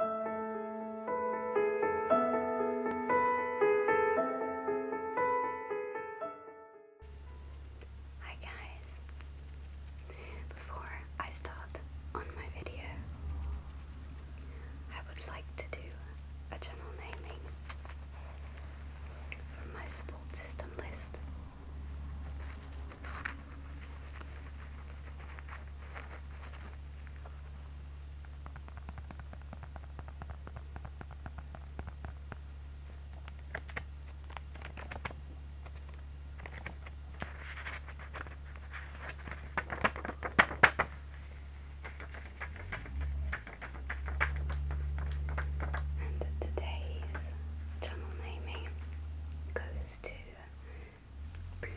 Hi guys. Before I start on my video, I would like to do a channel naming from my support system list. And today's channel naming goes to blue,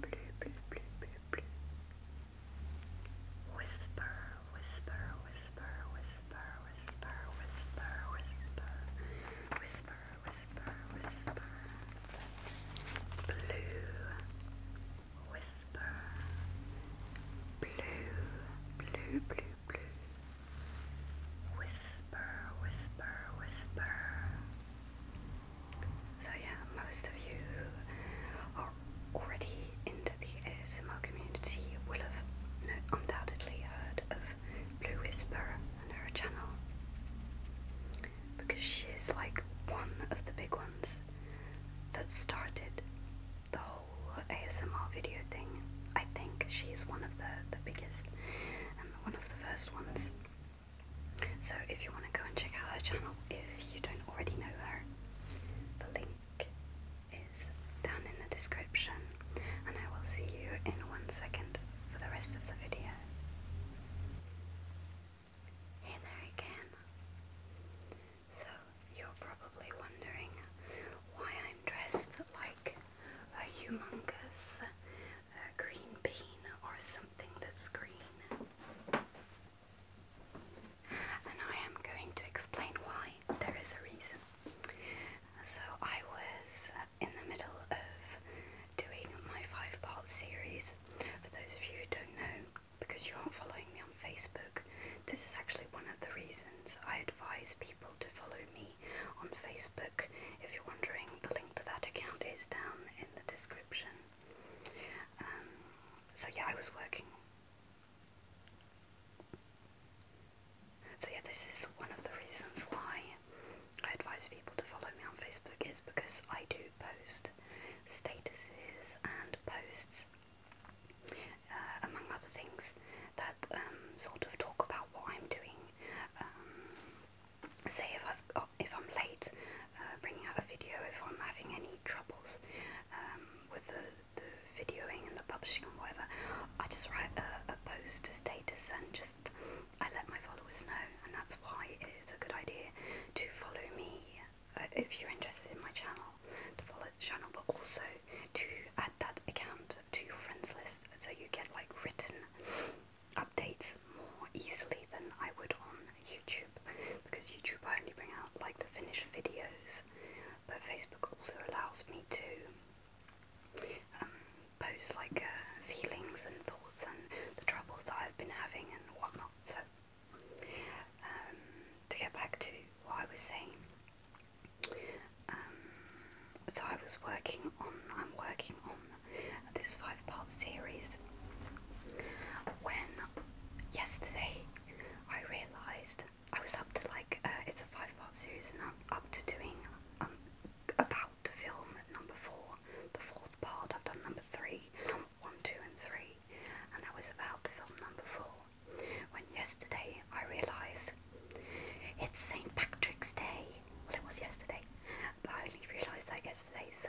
blue, blue, blue, blue, Whisper, whisper, whisper, whisper, whisper, whisper, whisper, whisper, whisper, whisper. Blue, whisper, blue, blue, blue, blue. Whisper, whisper, whisper. So, yeah, most of you who are already into the ASMR community will have undoubtedly heard of Blue Whisper and her channel because she is like one of the big ones that started the whole ASMR video thing. I think she's one of the, the biggest, one of the first ones. So if you want to go and check out her channel if you don't already know her, the link is down in the description and I will see you in one second for the rest of the video. Hey there again. So you're probably wondering why I'm dressed like a humongous green bean or something that's green. And I am going to explain why there is a reason. So I was in the middle of doing my five part series. For those of you who don't know, because you aren't following me on Facebook, this is actually one of the reasons I advise people to follow me on Facebook. If you're wondering, the link to that account is down in the description. Um, so yeah, I was working. So yeah, this is one of the reasons why I advise people to follow me on Facebook is because I do post statuses and posts, uh, among other things, that um, sort of talk about what I'm doing um, say if, i if I'm late uh, bringing out a video, if I'm having any troubles um, with the, the videoing and the publishing and whatever, I just write a, post to status and just I let my followers know, and that's why it is a good idea to follow me uh, if you're interested in my channel, to follow the channel, but also to add that account to your friends list so you get like written updates more easily than I would on YouTube because YouTube only bring out like the finished videos but Facebook also allows me to um, post like uh, feelings and thoughts and the troubles that I've been having and whatnot so um, to get back to what I was saying um, so I was working on, I'm working on this five part series when yesterday I realised I was up to like, uh, it's a five part series and I'm up to doing, I'm um, about to film number four, the fourth part, I've done number three, one, two, and three and I was about to film number four when yesterday I realised it's St. Patrick's Day. Well, it was yesterday, but I only realised that yesterday, so.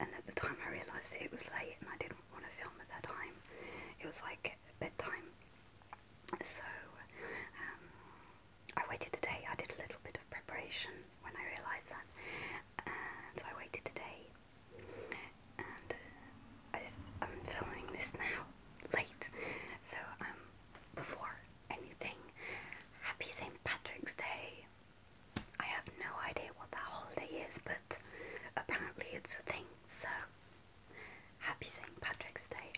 And at the time I realised it, it was late and I didn't want to film at that time. It was like bedtime. So um, I waited today. I did a little bit of preparation when I realised that. And so I waited today. And uh, I, am filming this now, late. So um, before anything. Happy St. Patrick's Day. I have no idea what that holiday is, but apparently it's a thing, so happy St. Patrick's Day.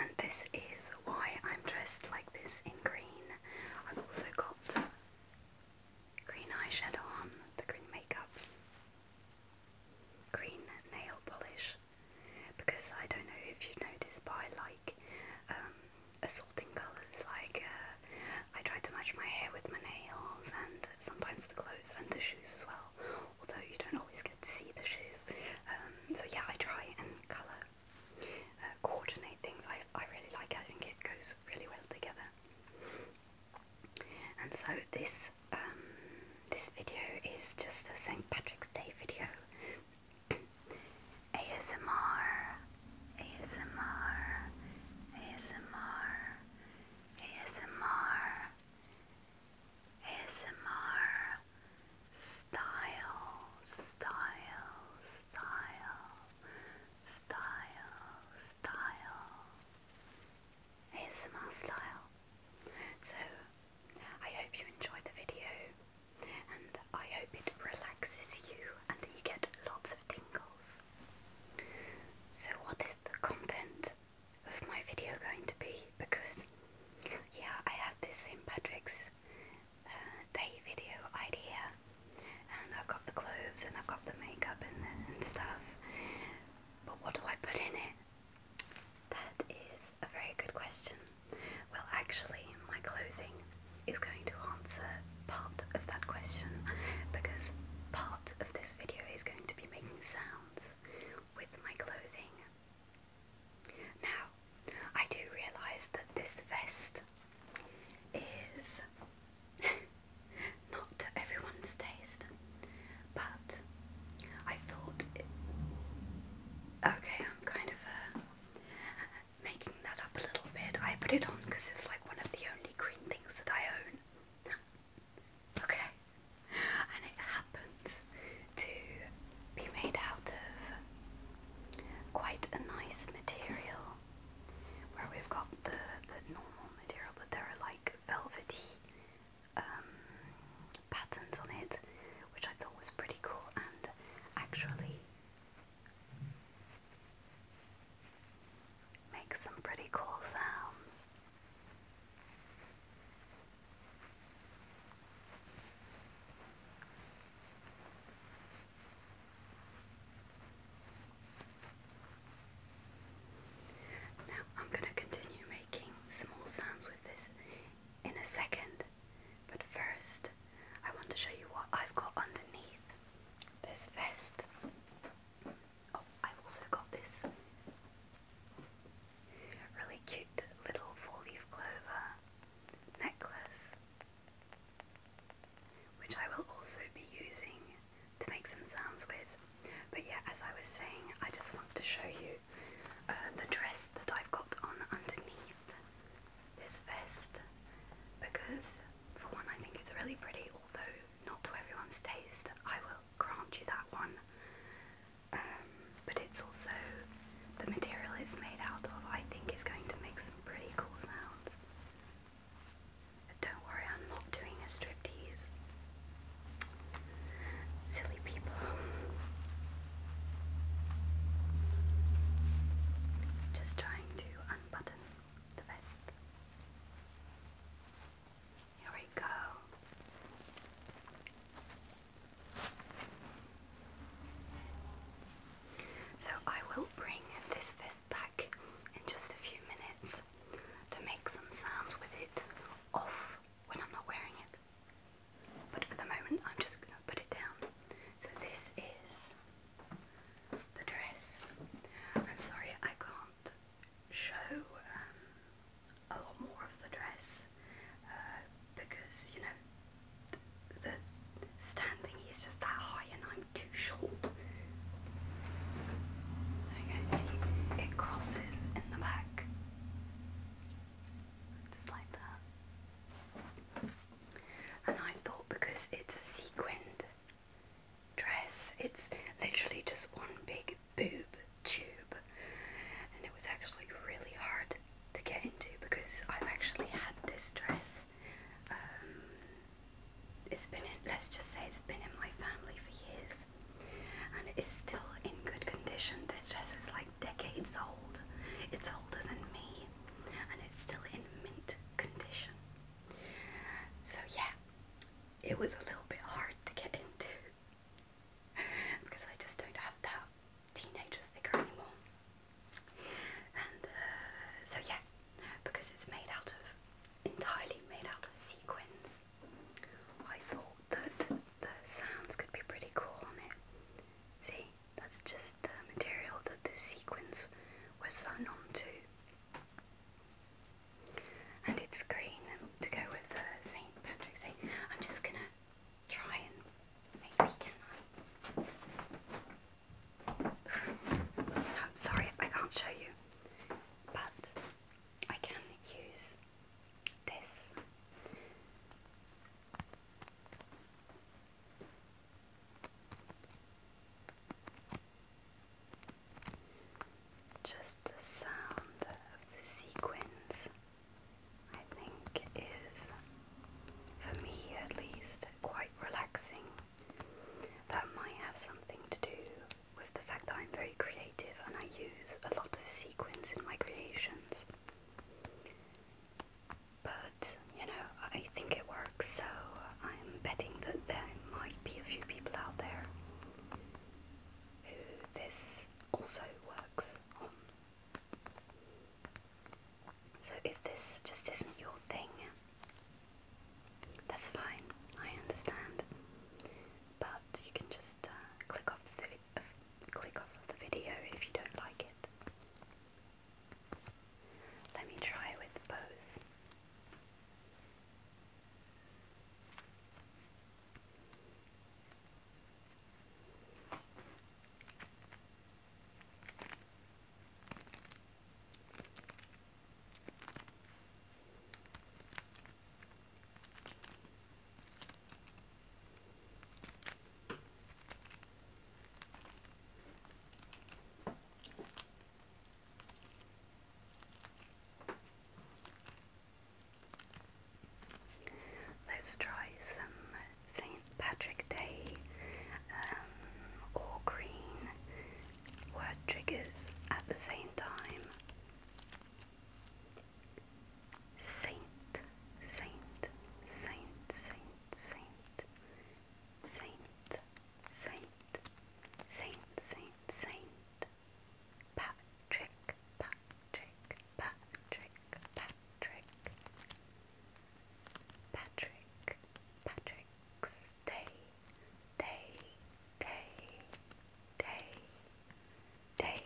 And this is why I'm dressed like this in green. I've also got green eyeshadow on, the green makeup, green nail polish, because I don't know if you've noticed, but I like um, assorting colours. Like uh, I try to match my hair with my nails, and sometimes the clothes and the shoes as well. Although you don't always get to see the shoes, um, so yeah, I try and colour uh, coordinate things. I I really like. I think it goes really well together. And so this um, this video is just a St Patrick's Day video ASMR, ASMR, ASMR, ASMR, ASMR, style, style, style, style, style, ASMR style. So I hope you enjoy the video and I hope it relaxes you and that you get lots of tingles. So what is the content of my video going to be? Because yeah, I have this St. Patrick's uh, Day video idea and I've got the clothes and I've got the makeup and, and stuff. But what do I put in it? That is a very good question. Well, actually, my clothing is going to answer part of that question because part of this video is going to be making sounds with my clothing. Now, I do realize that this vest is not everyone's taste, but I thought. It... Okay, i kind of uh, making that up a little bit. I put it on because it's like one of the only green things that I own. okay. And it happens to be made out of quite a nice material where we've got the, the normal material, but there are like velvety um, patterns on it, which I thought was pretty cool and actually makes some pretty cool sounds. Now I'm going to continue making small sounds with this in a second, but first, I want to show you what I've got underneath this vest. Oh, I've also got this really cute little four leaf clover necklace, which I will also be using to make some sounds with. But yeah, as I was saying, I just want to show you uh, the dress that I've got on underneath this vest because, for one, I think it's really pretty, although not to everyone's taste, I will grant you that one. Um, but it's also the material it's made out of, I think, is going to make some pretty cool sounds. don't worry, I'm not doing a striptease. Silly people. Just trying to unbutton the vest. Here we go. So I will bring this vest back in just a few minutes to make some sounds with it off when I'm not wearing it. But for the moment, I'm just going to put it down. So this is the dress. I'm sorry, I can't show um, a lot more of the dress uh, because, you know, the standing thingy is just that high and I'm too short. Okay, see, it crosses in the back just like that. And I thought because it's a sequined dress, it's literally just one big boob tube, and it was actually really hard to get into because I've actually had this dress. Um, it's been let's just say it's been in my family for years, and it's still in good condition. This dress is like decades old. It's older than me and it's still in mint condition. So, yeah, it was a little bit hard to get into because I just don't have that teenager's figure anymore. And uh, so, yeah, because it's made out of entirely made out of sequins, I thought that the sounds could be pretty cool on it. See, that's just the material that the sequins were sewn on to, And it's green to go with the St. Patrick's Day. I'm just gonna try and maybe can I? no, sorry, I can't show you. But I can use just the sound of the sequins, I think, is, for me at least, quite relaxing. That might have something to do with the fact that I'm very creative and I use a lot of sequins in my creations. But, you know, I think it works, so I'm betting that there might be a few people out there who this also works on. So if this just isn't your thing, that's fine, I understand. But you can just uh, click off the click off of the video if you don't like it. Let me try with both. Let's try some St. Patrick Day or um, green word triggers at the same time. Saint, Saint, Saint, Saint, Saint, Saint, Saint, Saint, Saint, Saint, Patrick, Patrick, Patrick, Patrick, Patrick, Patrick's Day, Day, Day, Day, Day.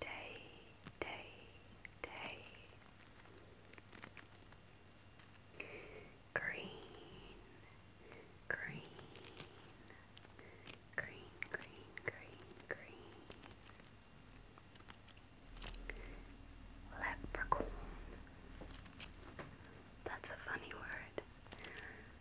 Day, day, day. Green, green, green, green, green, green. Leprechaun. That's a funny word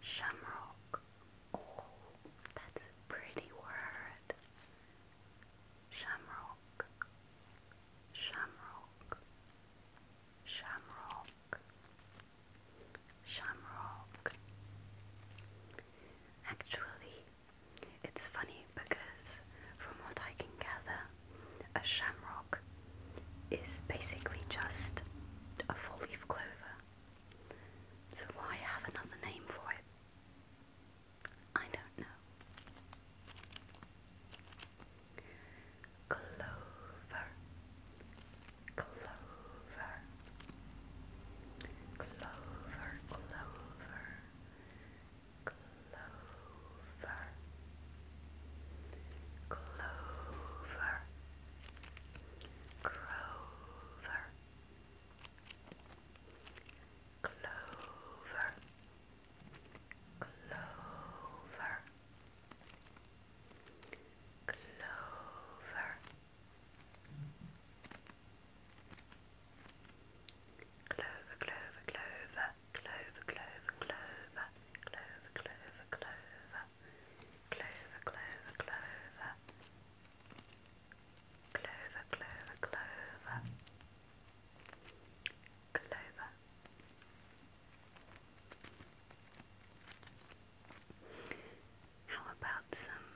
Shamrock. Oh, that's a pretty word. Shamrock. Shamrock. Shamrock. Shamrock. Actually, it's funny because from what I can gather, a shamrock is basically just a four leaf clover. So why have another name for it? I don't know. Clover, clover, clover, clover, clover, clover, Grover, Clover, Clover, Clover, Clover, Clover, Clover, Clover, Clover, Clover, Clover, Clover, Clover clover, clover, clover, clover, clover, clover, clover. How about some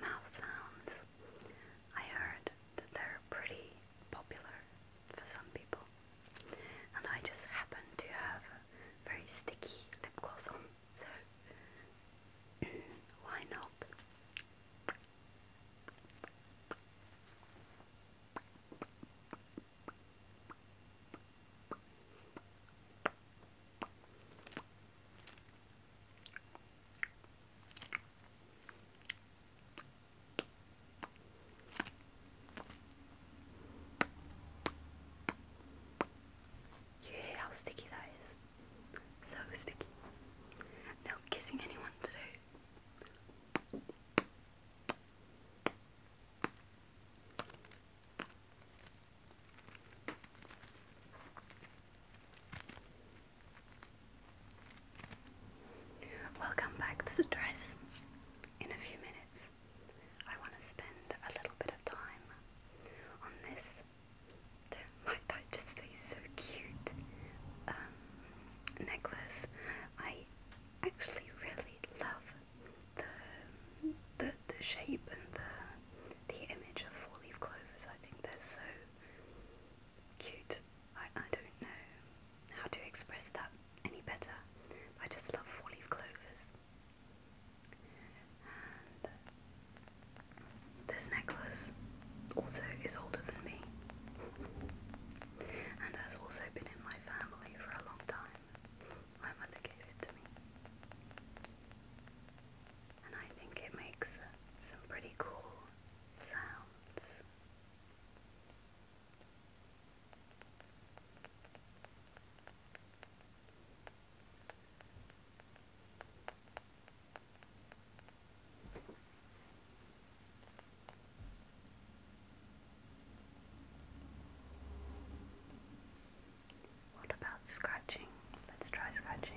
mouth sounds? I heard that they're pretty popular for some people and I just happen to have very sticky lip gloss on, so why not? You hear how sticky that is? So sticky. No kissing anyone today. Welcome back to the dress in a few minutes. I want to spend a little bit of time on this. Might that just be so cute? Um, necklace. I actually really love the the the shape and the the image of four leaf clovers. I think they're so cute. I I don't know how to express that any better. I just love four leaf clovers this necklace also is older than me and has also been in my family for a long time. My mother gave it to me. And I think it makes uh, some pretty cool sounds. What about scratching? Let's try scratching.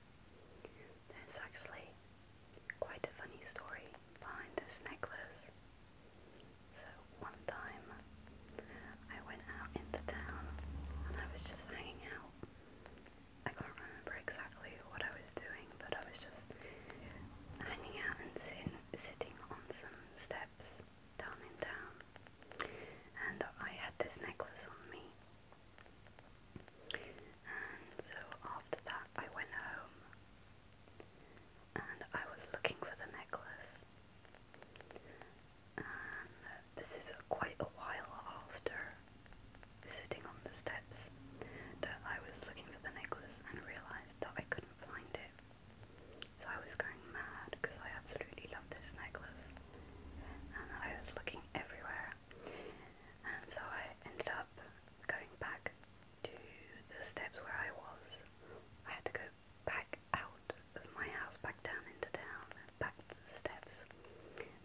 There's actually quite a funny story behind this necklace. So one time I went out into town and I was just hanging out. I can't remember exactly what I was doing, but I was just hanging out and sitting on some steps down in town. And I had this necklace on me. And so after that, I went home and I was looking for the necklace. And this is quite a while after sitting on the steps that I was looking for the necklace and realized that I couldn't find it. So I was going mad because I absolutely love this necklace. And I was looking everywhere. And so I ended up going back to the steps where I was. I had to go back out of my house, back down into town, back to the steps.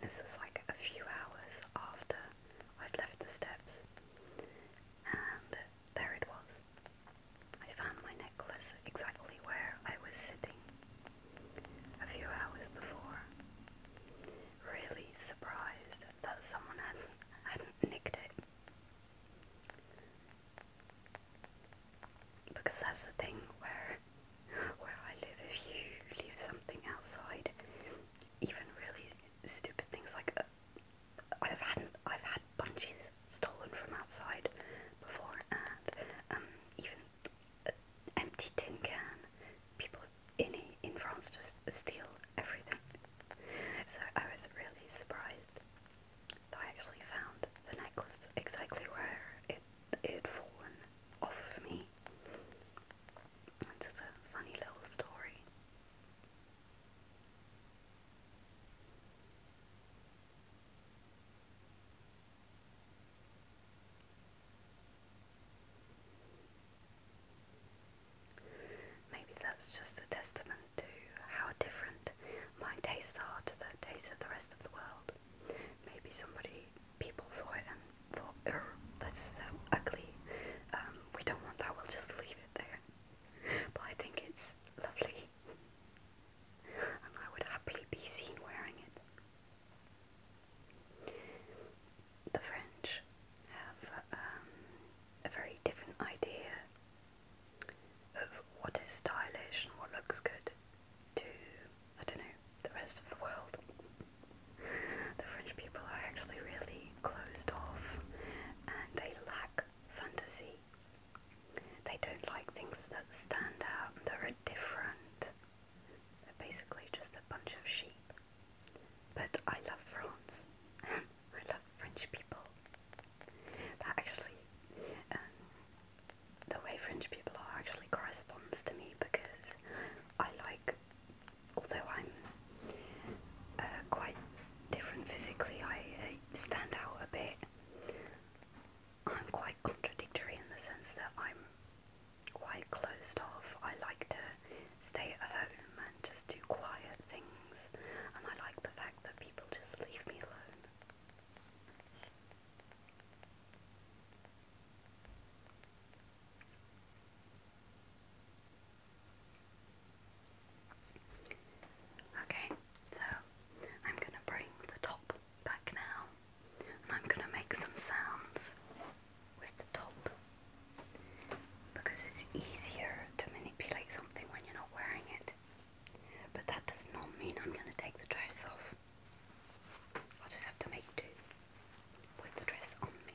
This was like a few hours after I'd left the steps, and there it was. I found my necklace exactly where I was sitting a few hours before really surprised that someone hasn't, hadn't nicked it. Because that's the thing where where I live, if you leave something outside, even really stupid things like uh, I've had I've had bunches stolen from outside before, and um, even empty tin can. People in in France to steal everything. So I was really surprised that I actually found the necklace exactly where it it had fallen off of me. Just a funny little story. Maybe that's just a testament to how different my tastes are to the tastes of the rest of the world. Maybe somebody, people saw it and thought, oh, that's so ugly. Um, we don't want that, we'll just leave it there. But I think it's lovely. and I would happily be seen wearing it. The French have um, a very different idea of what is stylish and what looks good to, I don't know, the rest of the world. The French people are actually really closed off and they lack fantasy. They don't like things that stand out and are different. They're basically just a bunch of sheep. But I love France. I love French people. That actually, um, the way French people are actually corresponds to me because I like, although I'm uh, quite different physically, I uh, stand out a bit. I'm quite contradictory in the sense that I'm quite closed off. I like to stay at home and just do quiet things, and I like the fact that people just leave me alone. Okay, so I'm going to bring the top back now and I'm going to make some sounds with the top because it's easier to manipulate something when you're not wearing it. But that does not mean I'm going to take the dress off. I'll just have to make do with the dress on me.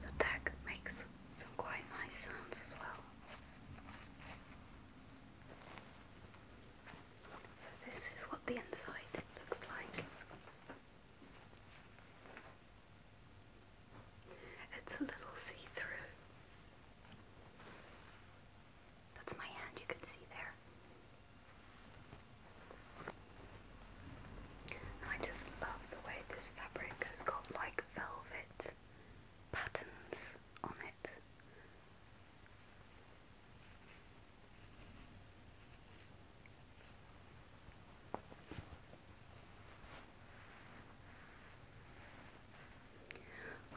The tag makes some quite nice sounds as well. So this is what the inside looks like. It's a little see-through. That's my hand you can see there. I just love the way this fabric has got like velvet patterns on it.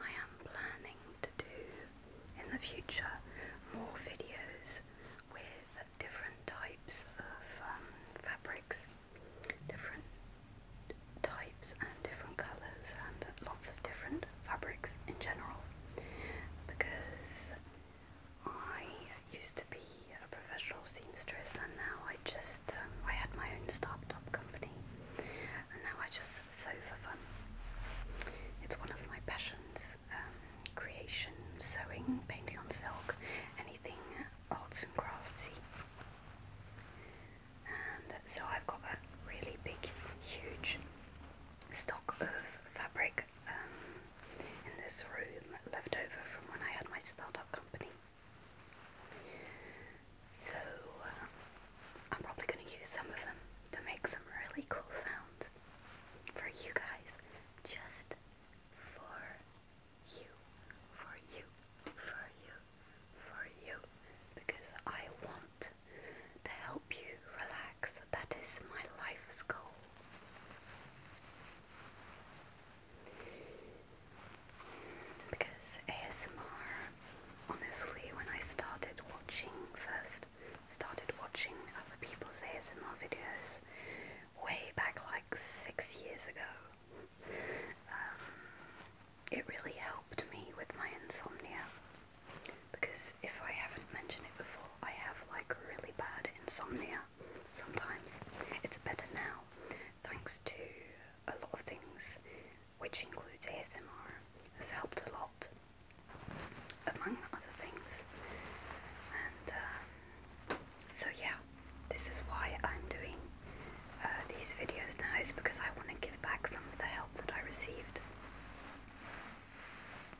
I am planning to do in the future more videos with different types of um, fabrics, different types and different colours and lots of different fabrics in general because I used to be a professional seamstress, and now I just um, I had my own start-up company, and now I just sew for fun. It's one of my passions: um, creation, sewing, painting on silk, anything arts and craftsy. And so I've got a really big, huge stock of fabric um, in this room left over from when I had my startup company. So uh, I'm probably going to use some of them to make some really cool sounds for you guys, just for you, for you, for you, for you, because I want to help you relax. That is my life's goal. Because ASMR, honestly, when I started watching first, started watching other people's ASMR videos way back like six years ago. Um, it really helped me with my insomnia because if I haven't mentioned it before, I have like really bad insomnia sometimes. It's better now thanks to a lot of things, which includes ASMR, has helped a lot, among other things. And um, so, yeah, this is why I'm doing uh, these videos now, It's because I want to give back some of the help that I received.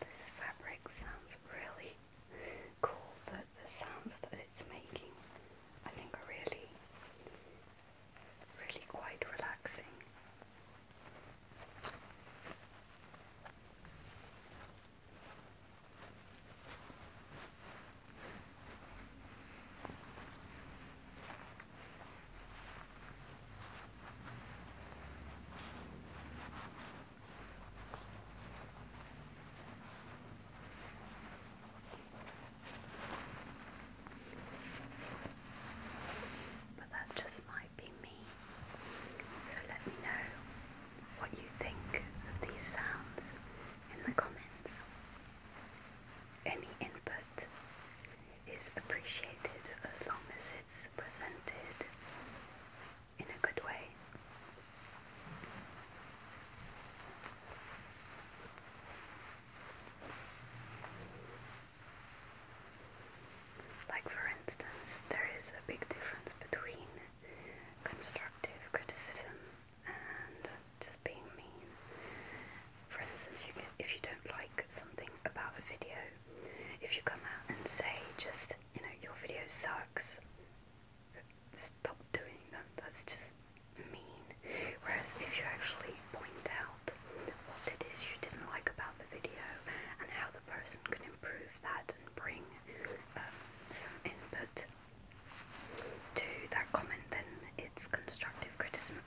This fabric sounds really cool, the, the sounds that it's making I think are really, really quite relaxing. But that just might be me. So let me know what you think of these sounds in the comments. Any input is appreciated as long as it's presented in a good way. Like, for instance, there is a big difference between constructive criticism and just being mean. For instance, if you don't like something about a video, if you come out and say just, you know, your video sucks, stop doing that. That's just mean. Whereas if you actually point out what it is you didn't like about the video and how the person can improve that and bring um, some input to that comment, then it's constructive criticism.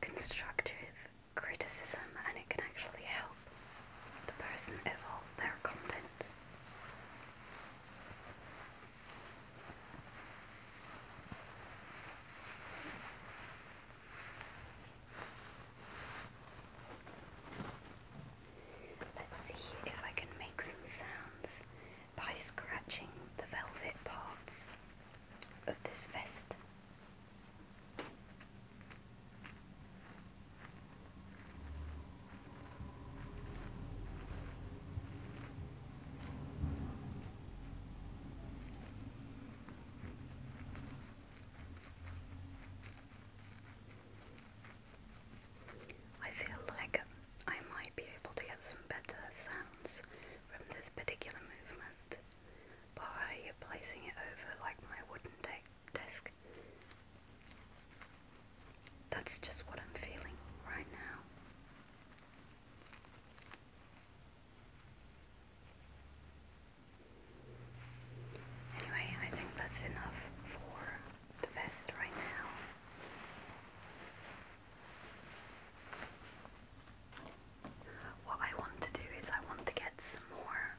Constructive criticism, and it can actually help the person evolve their content. Let's see if I can make some sounds by scratching the velvet parts of this vest. I feel like I might be able to get some better sounds from this particular movement by placing it over like my wooden desk. That's just what I'm feeling right now. Anyway, I think that's enough for the best right now. What I want to do is I want to get some more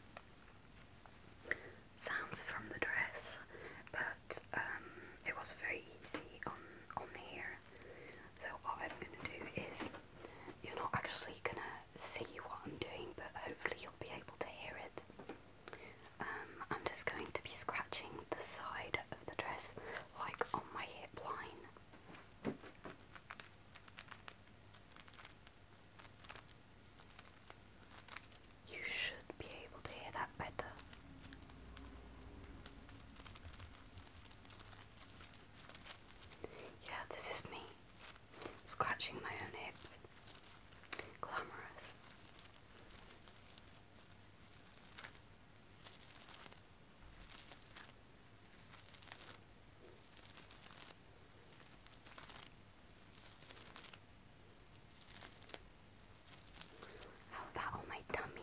sounds from the dress, but um, it was very easy on on here. So what I'm gonna do is you're not actually gonna see what I'm doing, but hopefully you'll be able to hear it. Um, I'm just going to be scratching the side of the dress, like on my hip line. You should be able to hear that better. Yeah, this is me scratching my own hips glamorous. How about on my tummy?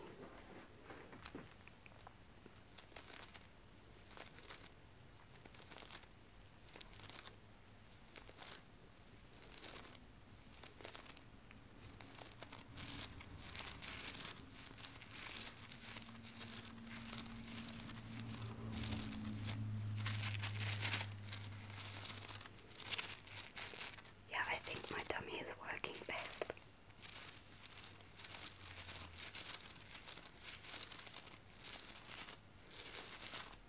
Yeah, I think my tummy is working best.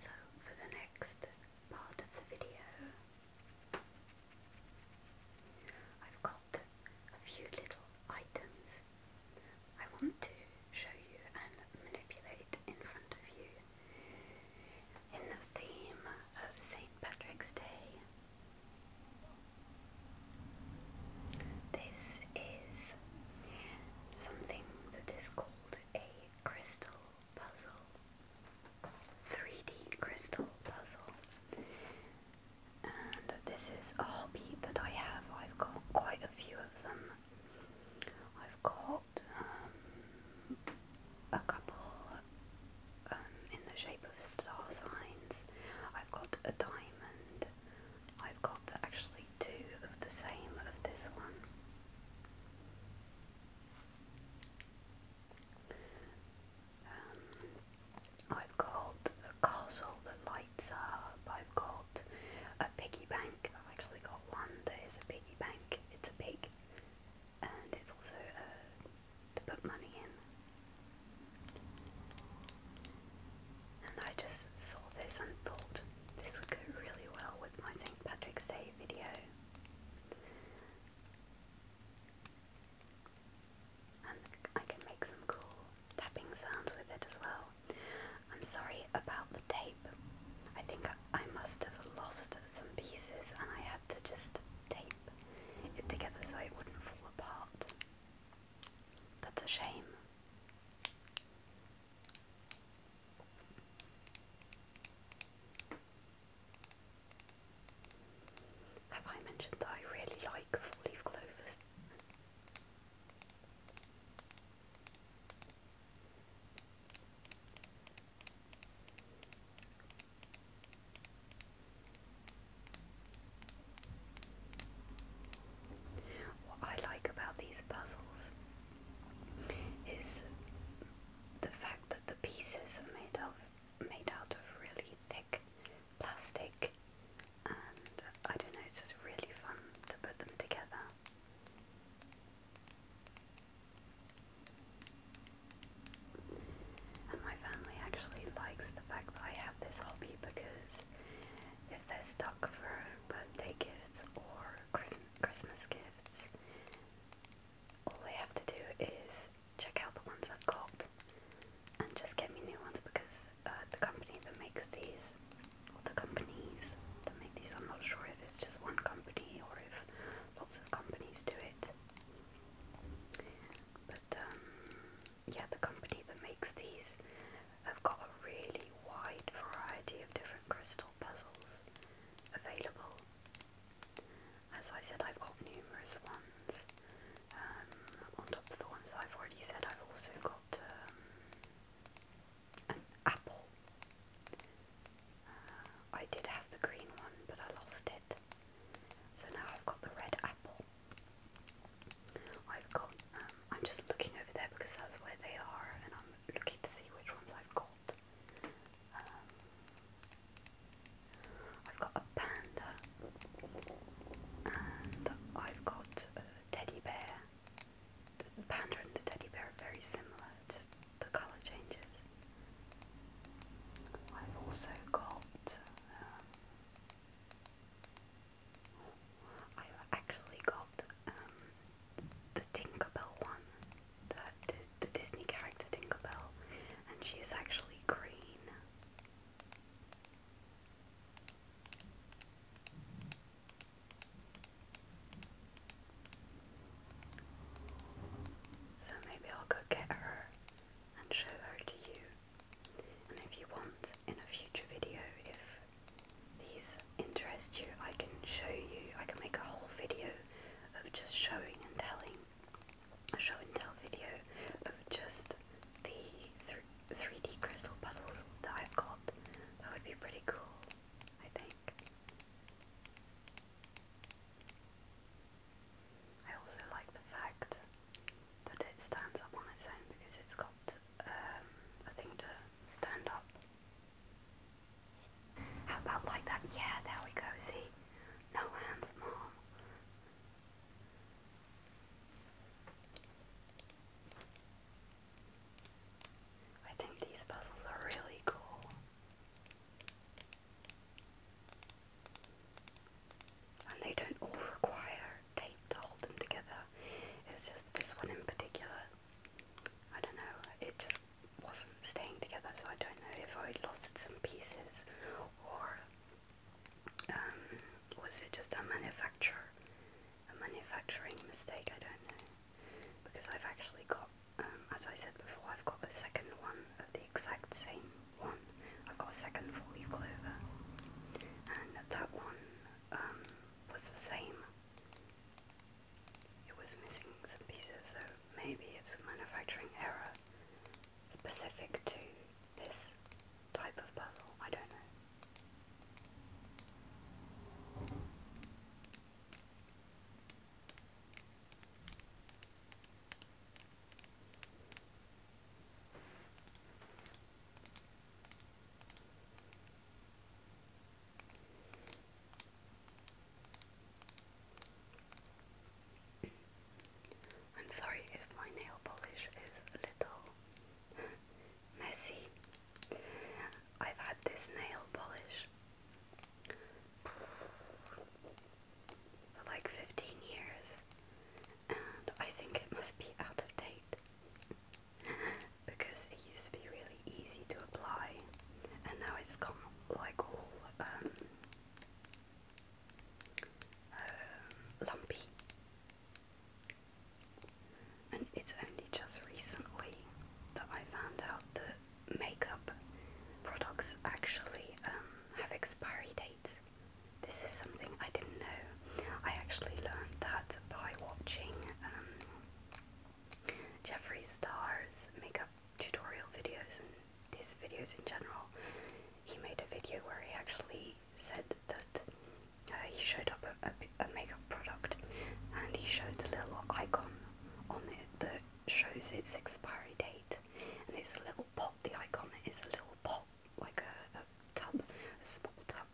So, for the next part of the video, I've got a few little items I want to show you and manipulate in front of you in the theme of St. Patrick's Day. This is something that is called a crystal puzzle. 3D crystal puzzle. And this is a hobby that I have. I've got quite a few of. I've got um, a couple um, in the shape of star signs. I've got a diamond. I've got actually two of the same of this one. Um, I've got castle that lights up. I've got a piggy bank. I've actually got one that is a piggy bank. It's a pig, and it's also a, uh, to put money in. And I just saw this and thought this would go really well with my St. Patrick's Day video. And I can make some cool tapping sounds with it as well. I'm sorry about the tape. I think I must have lost some pieces and I had to just tape it together so it wouldn't fall apart. That's a shame. Have I mentioned that I really like four leaf clovers? What I like about these puzzles is the fact that the pieces are made of made out of really thick plastic and I don't know, it's just really fun to put them together. And my family actually likes the fact that I have this hobby because if they're stuck for birthday gifts or Christmas gifts, all they have to do is check out the ones I've got and just get me new ones because uh, the company that makes these, or the companies that make these. I'm not sure if it's just one company or if lots of companies do it. But um, yeah, the company that makes these have got a really wide variety of different crystal puzzles available. As I said, I've got numerous ones. Um, on top of the ones I've already said, I've also got um, an apple. Uh, I did have the green one, but I lost it. So now I've got the red apple. I've got, um, I'm just looking over there because that's where they are, and I'm looking to see which ones I've got. Um, I've got a panda, and I've got a teddy bear, the panda and the teddy bear are very similar, just the colour changes. I've also got. Um, I've actually got um, the Tinkerbell one, the, the Disney character Tinkerbell, and she is actually green. So maybe I'll go get her and show her to you. And if you want in a future video, if these interest you, I can show you, I can make a whole video of just showing and telling, a show and tell video of just the three. 3D crystal puzzles that I've got. That would be pretty cool, I think. I also like the fact that it stands up on its own because it's got um, a thing to stand up. How about like that? Yeah, there we go. See? No hands, mom. I think these puzzles are really cool. And they don't all require tape to hold them together. It's just this one in particular. I don't know, it just wasn't staying together, so I don't know if I lost some pieces or um, was it just a manufacturer a manufacturing mistake, I don't know. Because I've actually got, um, as I said before, I've got a second one of the exact same one. I've got a second four-leaf clover. And that one um, was the same. It was missing some pieces, so maybe it's a manufacturing error specific to this type of puzzle. I don't know. I'm sorry if my nail polish is little messy. I've had this nail polish for like 15 years and I think it must be out of date because it used to be really easy to apply and now it's gone like all um, uh, lumpy and it's only just recently that I found out that makeup products actually um, have expiry dates. This is something I didn't know. I actually learned that by watching um, Jeffree Star's makeup tutorial videos and his videos in general. He made a video where he actually said that uh, he showed up a, makeup product and he showed the little icon on it that shows its expiry date and it's a little pot the icon is a little pot like a, tub a small tub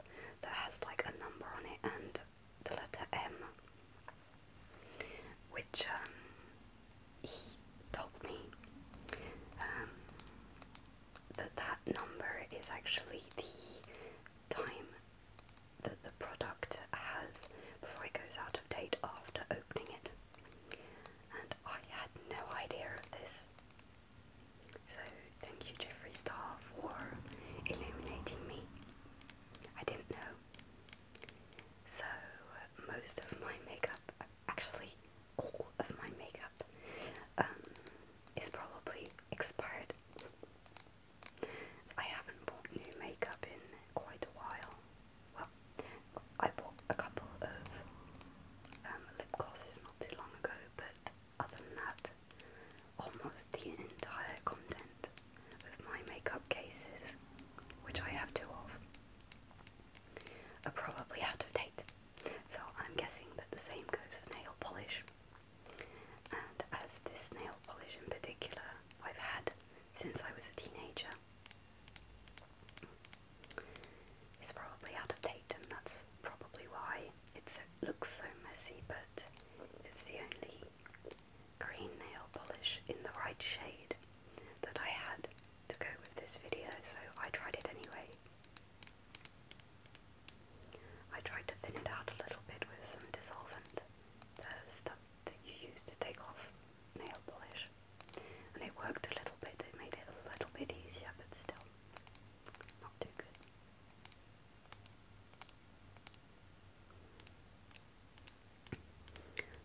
that has like a number on it and the letter M which um, he told me um, that that number is actually the time that the product has before it goes out of date after opening it. And I had no idea of this. So thank you Jeffrey Star for illuminating me. I didn't know. So most of my makeup, actually all of my makeup, um, is probably expired I haven't bought new makeup in quite a while. Well, I bought a couple of um, lip glosses not too long ago, but other than that, almost the entire content of my makeup cases, which I have two of, are probably out of date. So I'm guessing that the same goes for nail polish and as this nail polish in particular I've had since I was a teenager. It's probably out of date and that's probably why it looks so messy but it's the only green nail polish in the right shade that I had to go with this video so I tried it anyway. I tried to thin it out a little bit with some dissolvent, the stuff that you use to take off nail polish, and it worked a little bit, it made it a little bit easier, but still not too good.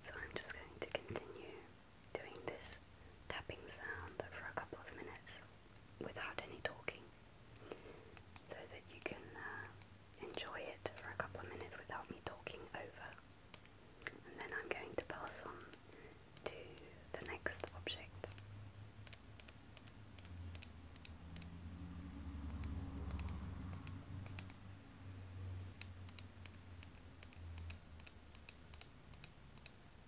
So I'm just going to continue doing this tapping sound for a couple of minutes without any talking so that you can uh, enjoy it for a couple of minutes without me talking over. And then I'm going to pass on to the next object.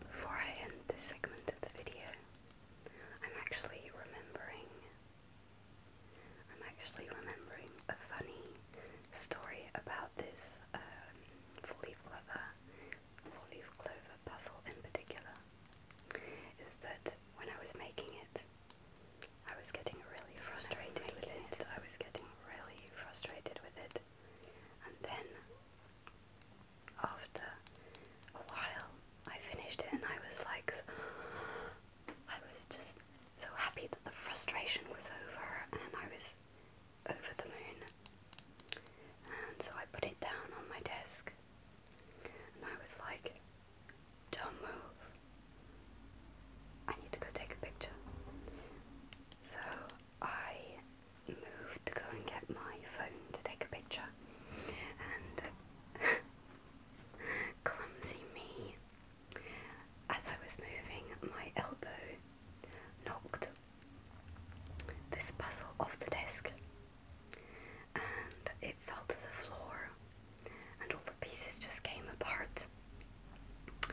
Before I end this segment of the video, I'm actually remembering I'm actually remembering a funny story about this um, four-leaf clover, four-leaf clover puzzle in particular is that when I was making it, I was getting really frustrated with it. I was getting really frustrated with it. And then, after a while, I finished it and I was like, I was just so happy that the frustration was over and I was over the moon. And so I put it down on my desk and I was like, don't move. I need to go take a picture. So I moved to go and get my phone to take a picture. And clumsy me, as I was moving, my elbow knocked this puzzle off the desk and it fell to the floor, and all the pieces just came apart.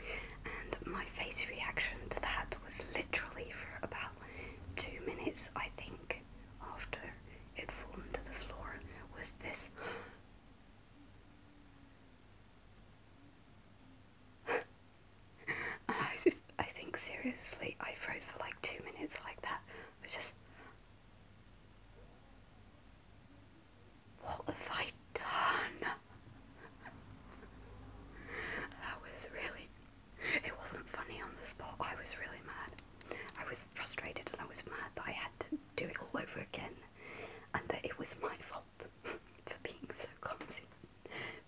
And my face reaction to that was literally for about two minutes, I think, after it fallen to the floor, was this. I, I think seriously, I froze for like two minutes like that. I was just, what have I done? That was really. It wasn't funny on the spot. I was really mad. I was frustrated and I was mad that I had to do it all over again and that it was my fault for being so clumsy.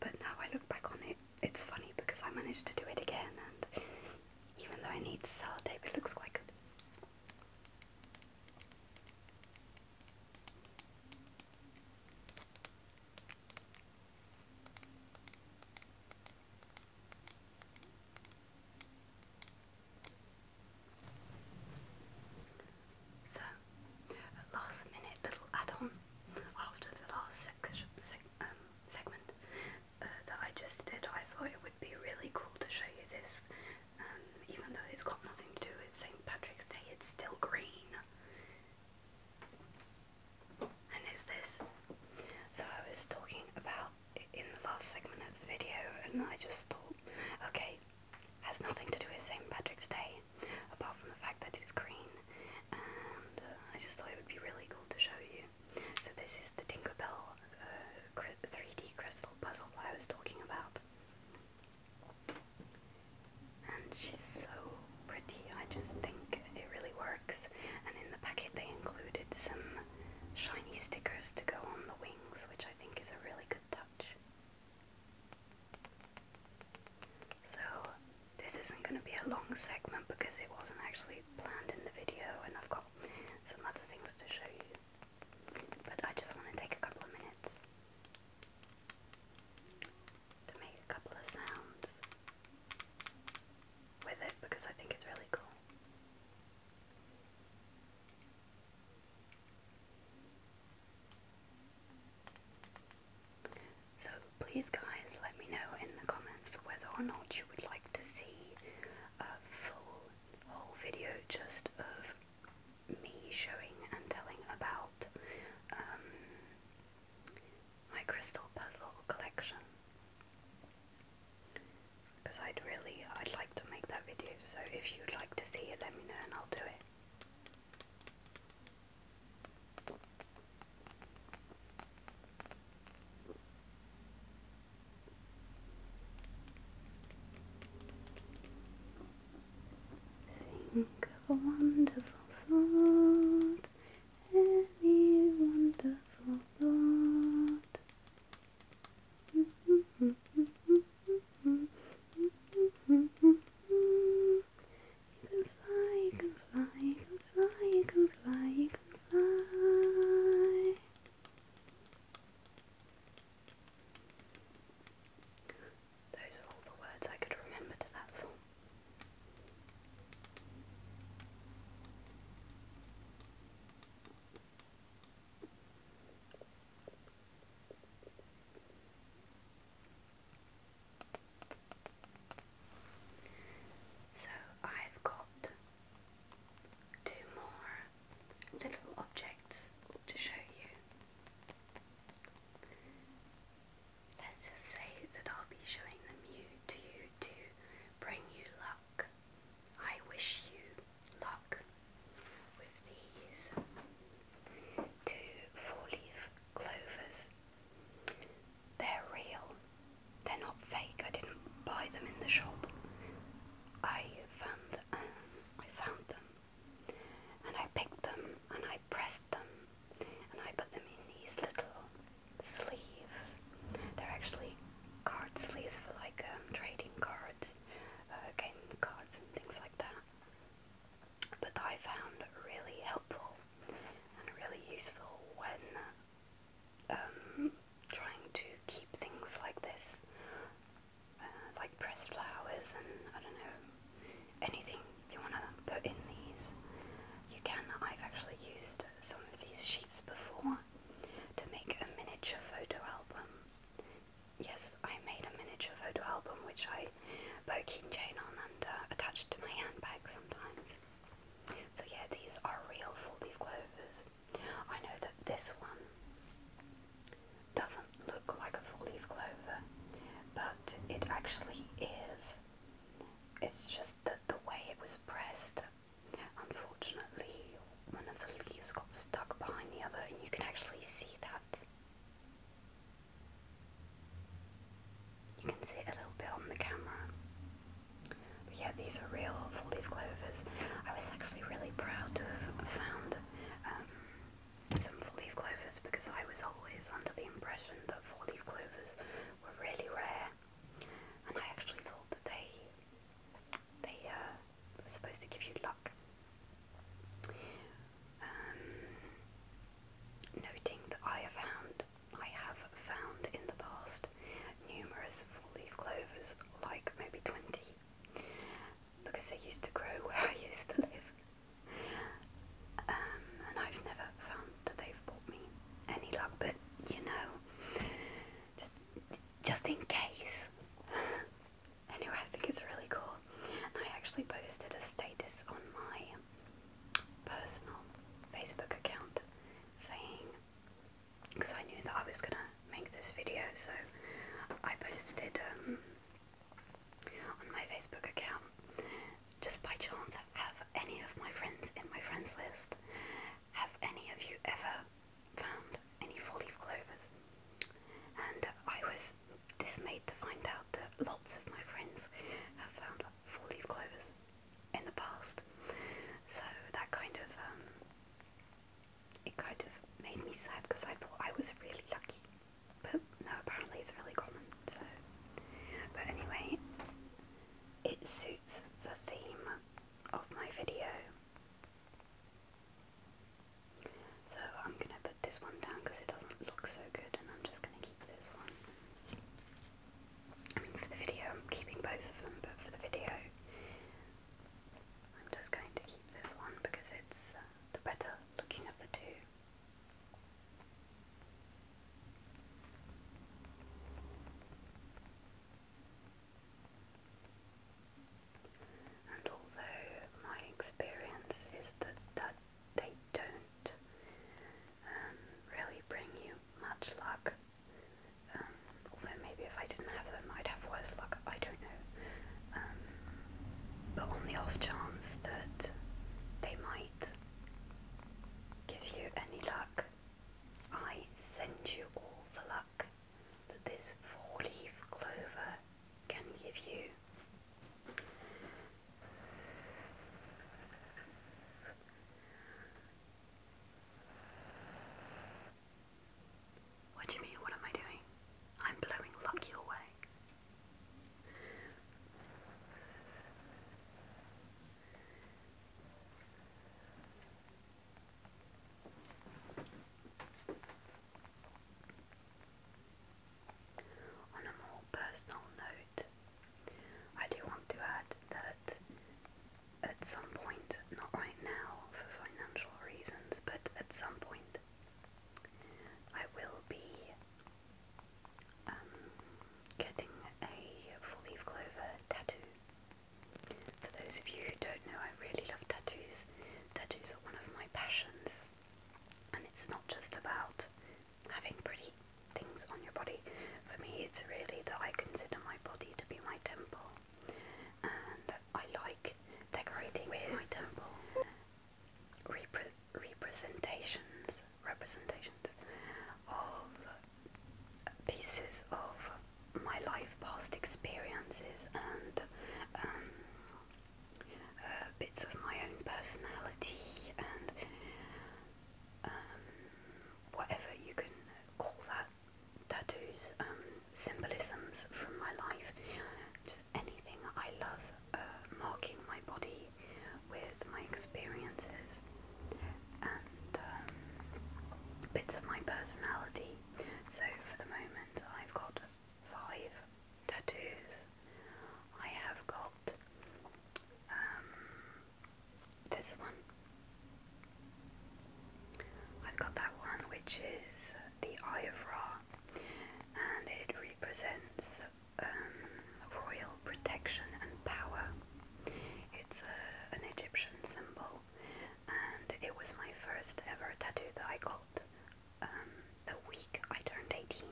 But now I look back on it, it's funny because I managed to do it again and even though I need tape, it looks quite good. So, last minute little add on after the last sec sec um, segment uh, that I just did, I thought it would be really cool to show you this. Um, even though it's got nothing to do with St. Patrick's Day, it's still green. And it's this. So I was talking about in the last segment of the video, and I just thought, okay, has nothing to do with St. Patrick's Day, apart from the fact that it's green. And uh, I just thought it would be really cool to show you. So this is the Tinkerbell uh, 3D crystal puzzle I was talking about. And she's so pretty, I just think it really works. And in the packet they included some shiny stickers to go on the wings, which I think is a really good touch. So this isn't going to be a long segment because it wasn't actually planned in the video and I've got got some other things to show you. But I just want to take a couple of minutes to make a couple of sounds with it because I think it's really cool. So please guys let me know in the comments whether or not you would like to see a full whole video just of me showing and telling about um, my crystal puzzle collection because I'd really I'd like to make that video so if you'd like to see it let me know and I'll do it Think of a wonderful thought, any wonderful thought. You can fly, you can fly, you can fly, you can fly, those are all the words I could remember to that song. So I've got two more little objects to show you. Let's say that I'll be showing them you to bring you luck. I wish you luck with these two four leaf clovers. They're real. They're not fake. I didn't buy them in the shop. I found um, I found them, and I picked them, and I pressed them, and I put them in these little sleeves. They're actually card sleeves for like um, trading cards, uh, game cards, and things like that. But I found really helpful and really useful when um, trying to keep things like this, uh, like pressed flowers and I don't know, anything you want to put in these, you can. I've actually used some of these sheets before to make a miniature photo album. Yes, I made a miniature photo album which I put a keychain on and uh, attached to my handbag sometimes. So yeah, these are real 4 leaf clovers. I know that this one doesn't look like a 4 leaf clover, but it actually is. It's just that the way it was pressed, unfortunately, one of the leaves got stuck behind the other, and you can actually see that. You can see it a little bit on the camera. But yeah, these are real four-leaf clovers. I was actually really proud to have found um, some four-leaf clovers because I was always under the impression that four-leaf clovers were really rare, and I actually thought that they they uh, were supposed to give you luck. Um, noting that I have found I have found in the past numerous four-leaf clovers, like maybe 20, because they used to grow where I used to live. Um, and I've never found that they've brought me any luck, but you know, just, just in case. anyway, I think it's really cool. And I actually posted a status on my personal Facebook account saying because I knew that I was gonna make this video, so I posted um, on my Facebook account just by chance have any of my friends in my friends list have any of you ever found any four leaf clovers and I was dismayed to find out that lots of my friends have found four leaf clovers in the past. So that kind of um, it kind of made me sad because I thought I was really lucky, but no, apparently it's really common. So, but anyway, it suits the theme of my video. So I'm gonna put this one down because it doesn't look so good, and I'm just gonna keep this one. I mean, for the video, I'm keeping both of them, but for the video, I'm just going to keep this one because it's uh, the better looking of the two. And although my experience is that, that they don't um, really bring you much luck, um, although maybe if I didn't have them, I'd have worse luck. I don't know. Um, but on the off chance that they might give you any luck, I send you all the luck that this four-leaf clover can give you. What do you mean? What am I doing? I'm blowing luck your way. On a more personal note, I do want to add that at some point, not right now for financial reasons, but at some point, I will be um, getting a full leaf clover tattoo. For those of you who don't know, I really love tattoos. Tattoos are one of my passions, and it's not just about having pretty things on your body. For me, it's really that I consider my body to be my temple, and I like decorating my temple repre representations, representations of pieces of my life, past experiences, and um, uh, bits of my own personality and. Um, whatever you can call that tattoos, um, symbolisms from my life, just anything. I love uh, marking my body with my experiences and um, bits of my personality. So for the moment, I've got five tattoos. I have got um, this one. I've got that one which is the Eye of Ra and it represents um, royal protection and power. It's a, uh, an Egyptian symbol and it was my first ever tattoo that I got the um, week I turned 18.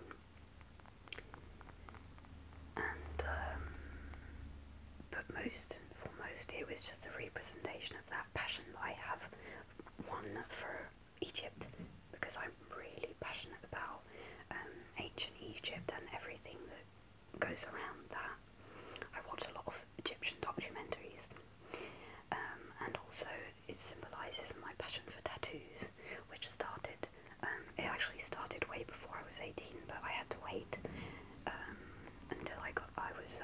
And um, but most foremost, it was just a representation of that passion that I have one for Egypt because I'm really passionate about um, ancient Egypt and everything that goes around that. I watch a lot of Egyptian documentaries, um, and also it symbolises my passion for tattoos, which started. Um, it actually started way before I was 18, but I had to wait until I got I was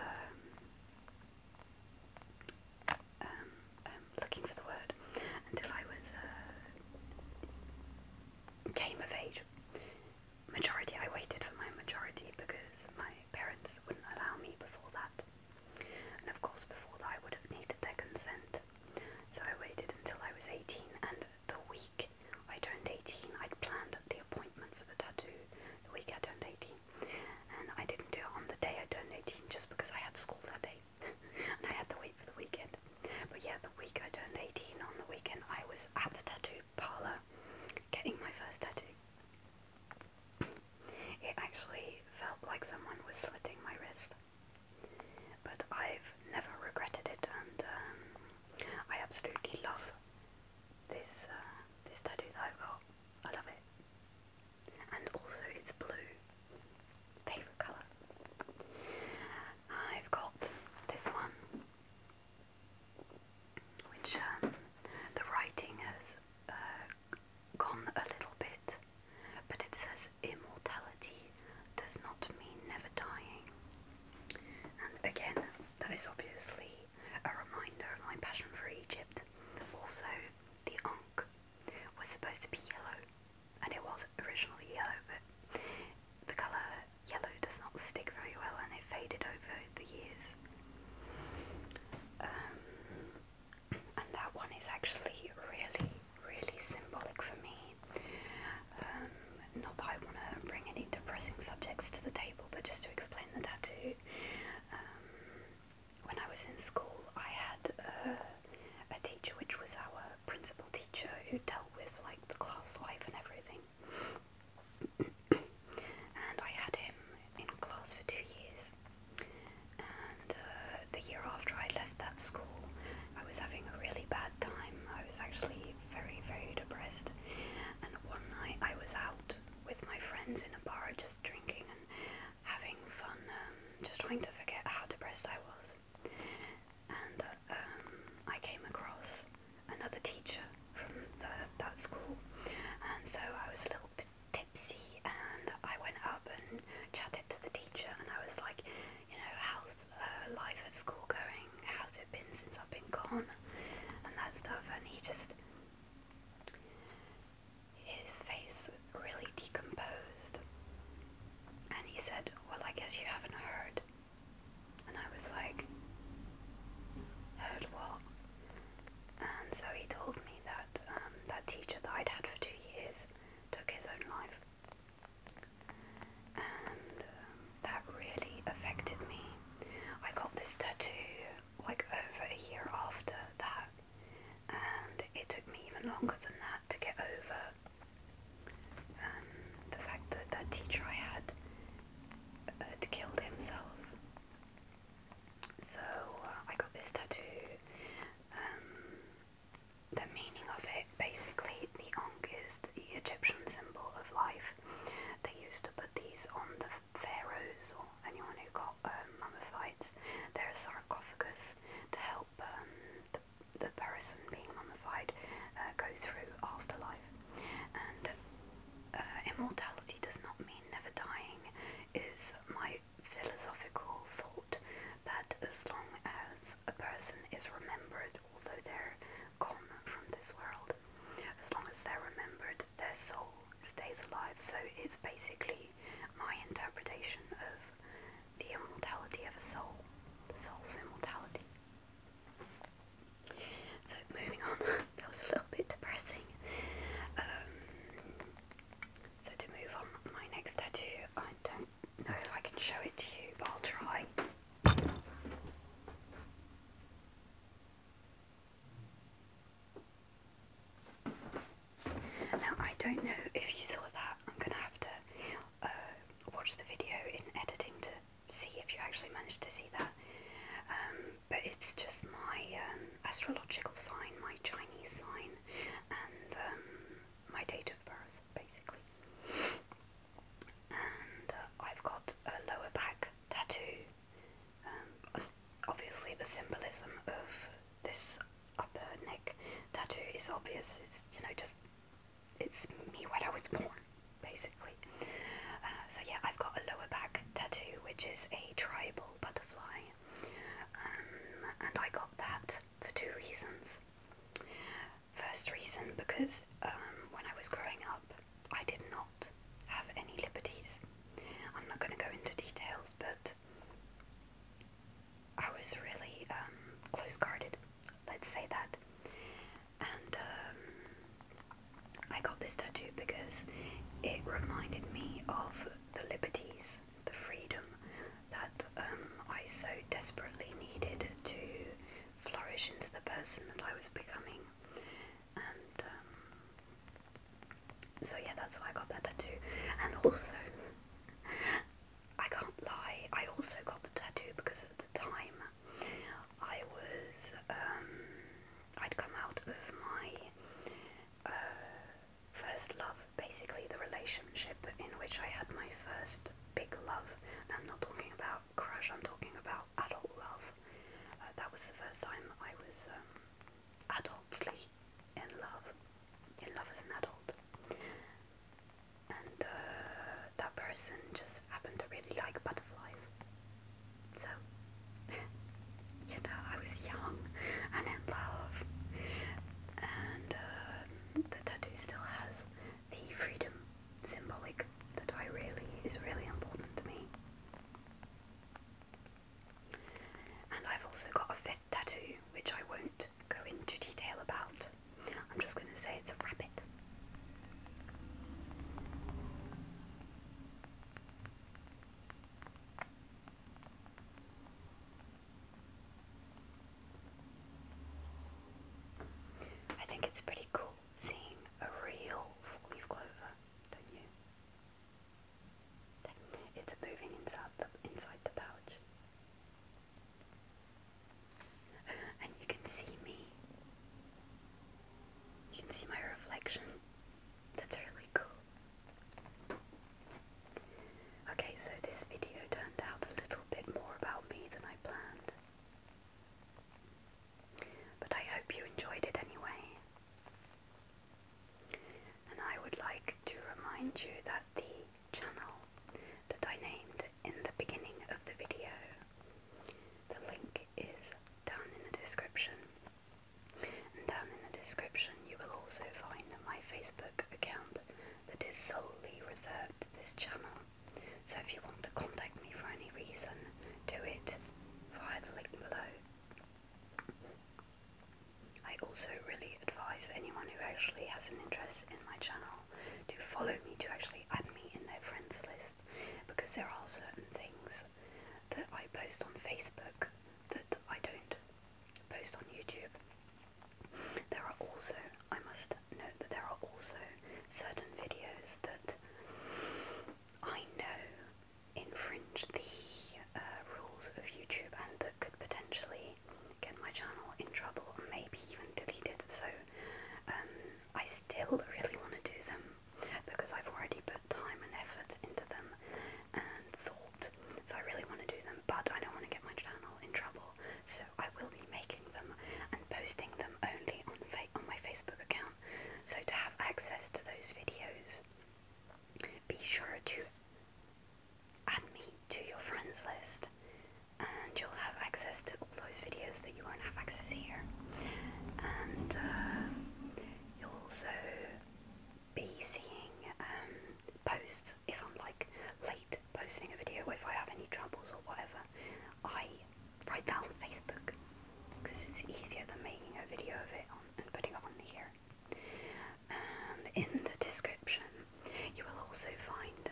um, um, um, looking for the word until I was uh, came of age. Majority, I waited for my majority because my parents wouldn't allow me before that, and of course before that I would have needed their consent. So I waited until I was 18, and the week I turned 18, I'd planned the appointment for the tattoo the week I turned 18. And I didn't do it on the day I turned 18 just because I had school that day. and I had to wait for the weekend. But yeah, the week I turned 18, on the weekend, I was at the tattoo parlor getting my first tattoo. It actually felt like someone was slitting my wrist. But I've never regretted it, and um, I absolutely love this uh, this tattoo that I've got. I love it, and also it's blue, favorite color. I've got this one, which um, the writing has uh, gone a little bit, but it says immortality does not mean never dying. And again, that is obviously a reminder of my passion for Egypt. Also, the Ankh was supposed to be yellow, and it was originally yellow, but the colour yellow does not stick very well and it faded over the years. Um, and that one is actually really, really symbolic for me. Um, not that I want to bring any depressing subjects to the table, but just to explain the tattoo. Um, when I was in school, I had a, uh, a teacher, which was our principal teacher, who dealt with like the class life and everything. and I had him in class for two years. And uh, the year after I left that school, I was having a really bad time. I was actually very, very, depressed. And one night I was out with my friends in a bar just drinking and having fun, um, just trying to forget how depressed I was. And uh, um, I came across another teacher from that school, and so I was a little bit tipsy, and I went up and chatted to the teacher, and I was like, you know, how's uh, life at school going? how's it been since I've been gone? And that stuff. And he just, his face really decomposed. And he said, Well, I guess you haven't heard. And I was like, Heard what? And so he told me that um, that teacher that I'd had for two years took his own life and um, that really affected me. I got this tattoo like over a year after that, and it took me even longer than that to get over um, the fact that that teacher I had had killed himself. So uh, I got this tattoo. Um, the meaning of it, basically, the Ankh is the Egyptian symbol of life. They used to put these on the pharaohs or anyone who got um, mummified. They're a sarcophagus to help um, the, the person being mummified uh, go through afterlife. And uh, immortality does not mean never dying, is my philosophical thought that as long as a person is remembered although they're gone from this world. As long as they're remembered, their soul stays alive. So it's basically my interpretation of the immortality of a soul, the soul's immortality. So moving on, that was a little bit depressing. Um, so to move on, my next tattoo, I don't know if I can show it to you, but I'll try. Now, I don't know if you saw that. I'm going to have to uh, watch the video in editing to see if you actually managed to see that. Um, but it's just my um, astrological sign, my Chinese sign, and um, my date of birth, basically and uh, I've got a lower back tattoo. Um, obviously, the symbolism of this upper neck tattoo is obvious. It's you know just it's me when I was born, basically. Uh, so yeah, I've got a lower back tattoo, which is a tribal butterfly, um, and I got that for two reasons. First reason because um, when I was growing up, I did not have any liberties. I'm not going to go into details, but I was really um, close guarded, let's say that. And um, I got this tattoo because it reminded me of the liberties, the freedom that um, I so desperately needed to flourish into the person that I was becoming. Um, so yeah, that's why I got that tattoo. And also, I can't lie, I also got the tattoo because at the time I was um, I'd come out of my uh, first love, basically the relationship in which I had my first big love. I'm not talking about crush, I'm talking about adult love. Uh, that was the first time I was um, adultly in love, in love as an adult. And uh, that person just happened to really like butterflies. So, you know, I was young and in love. And uh, the tattoo still has the freedom symbolic that I really is really important to me. And I've also got a fifth tattoo, which I won't go into detail about. I'm just going to say it's a rabbit. I think it's pretty cool seeing a real four-leaf clover, don't you? It's moving inside the, inside the pouch. Uh, and you can see me. You can see my reflection. That's really cool. Okay, so this video turned out a little bit more about me than I planned. But I hope you enjoyed it anyway. And I would like to remind you that the channel that I named in the beginning of the video, the link is down in the description. And down in the description, you will also find my Facebook account that is solely reserved to this channel. So if you want to contact me for any reason, do it via the link below. I also really advise anyone who actually has an interest in my channel to follow me to actually add me in their friends list because there are certain things that I post on Facebook that I don't post on YouTube. There are also, I must note that there are also certain videos that I know infringe the uh, rules of YouTube and that could potentially get my channel in trouble maybe even deleted. So um, I still really want to do them because I've already put time and effort into them and thought. So I really want to do them, but I don't want to get my channel in trouble. So I will be making them and posting them only on, fa on my Facebook account. So to have access to those videos, be sure to add me to your friends list and you'll have access to all those videos that you won't have access here. And uh, you'll also be seeing um, posts if I'm like late posting a video, if I have any troubles or whatever. I write that on Facebook because it's easier than making a video of it and putting it on here. And in the description, you will also find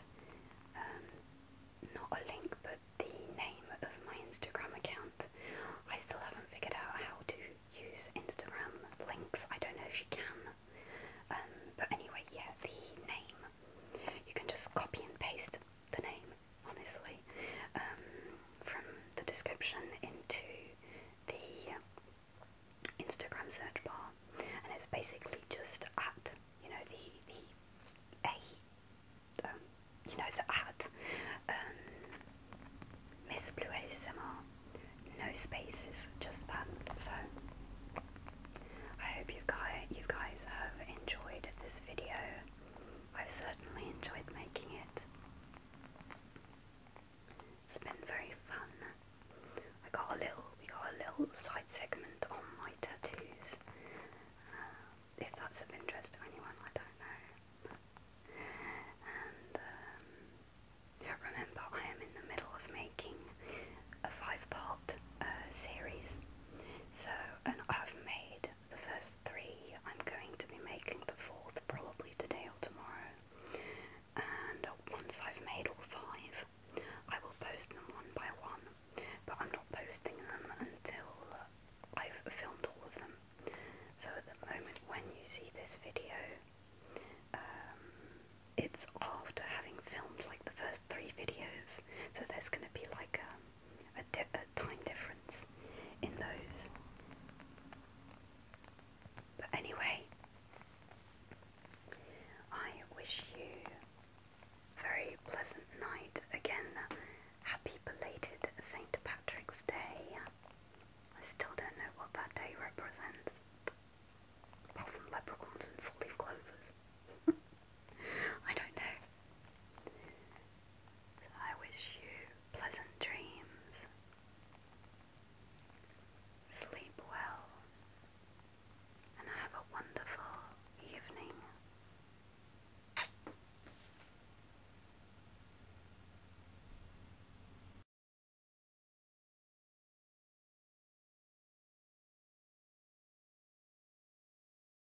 um, not a link but the name of my Instagram account. I still haven't figured out how to use Instagram links, I don't know if you can. Um, but anyway, yeah, the name. You can just copy and paste the name honestly, um, from the description into the um, Instagram search bar, and it's basically just at you know the the a um, you know the at um, Miss Blue ASMR, no spaces, just that. So I hope you guys you guys have enjoyed this video. I've certainly enjoyed making it. It's been very fun. I got a little, we got a little side segment on my tattoos. Uh, if that's of interest to anyone, I don't know. And um, remember, I am in the middle of making a five-part uh, series. So, and I've made the first three. I'm going to be making the fourth probably today or tomorrow. And once I've made all five, I will post them one by one. But I'm not posting them until I've filmed all of them. So at the moment, when you see this video, um, it's after having filmed like the first three videos. So there's going to be like a um, a, di a time difference in those. But anyway, I wish you very pleasant night. Again, happy belated St. Patrick's Day. I still don't know what that day represents, apart from leprechauns and four-leaf clovers. I don't know. I wish you pleasant dreams. Sleep well and have a wonderful evening.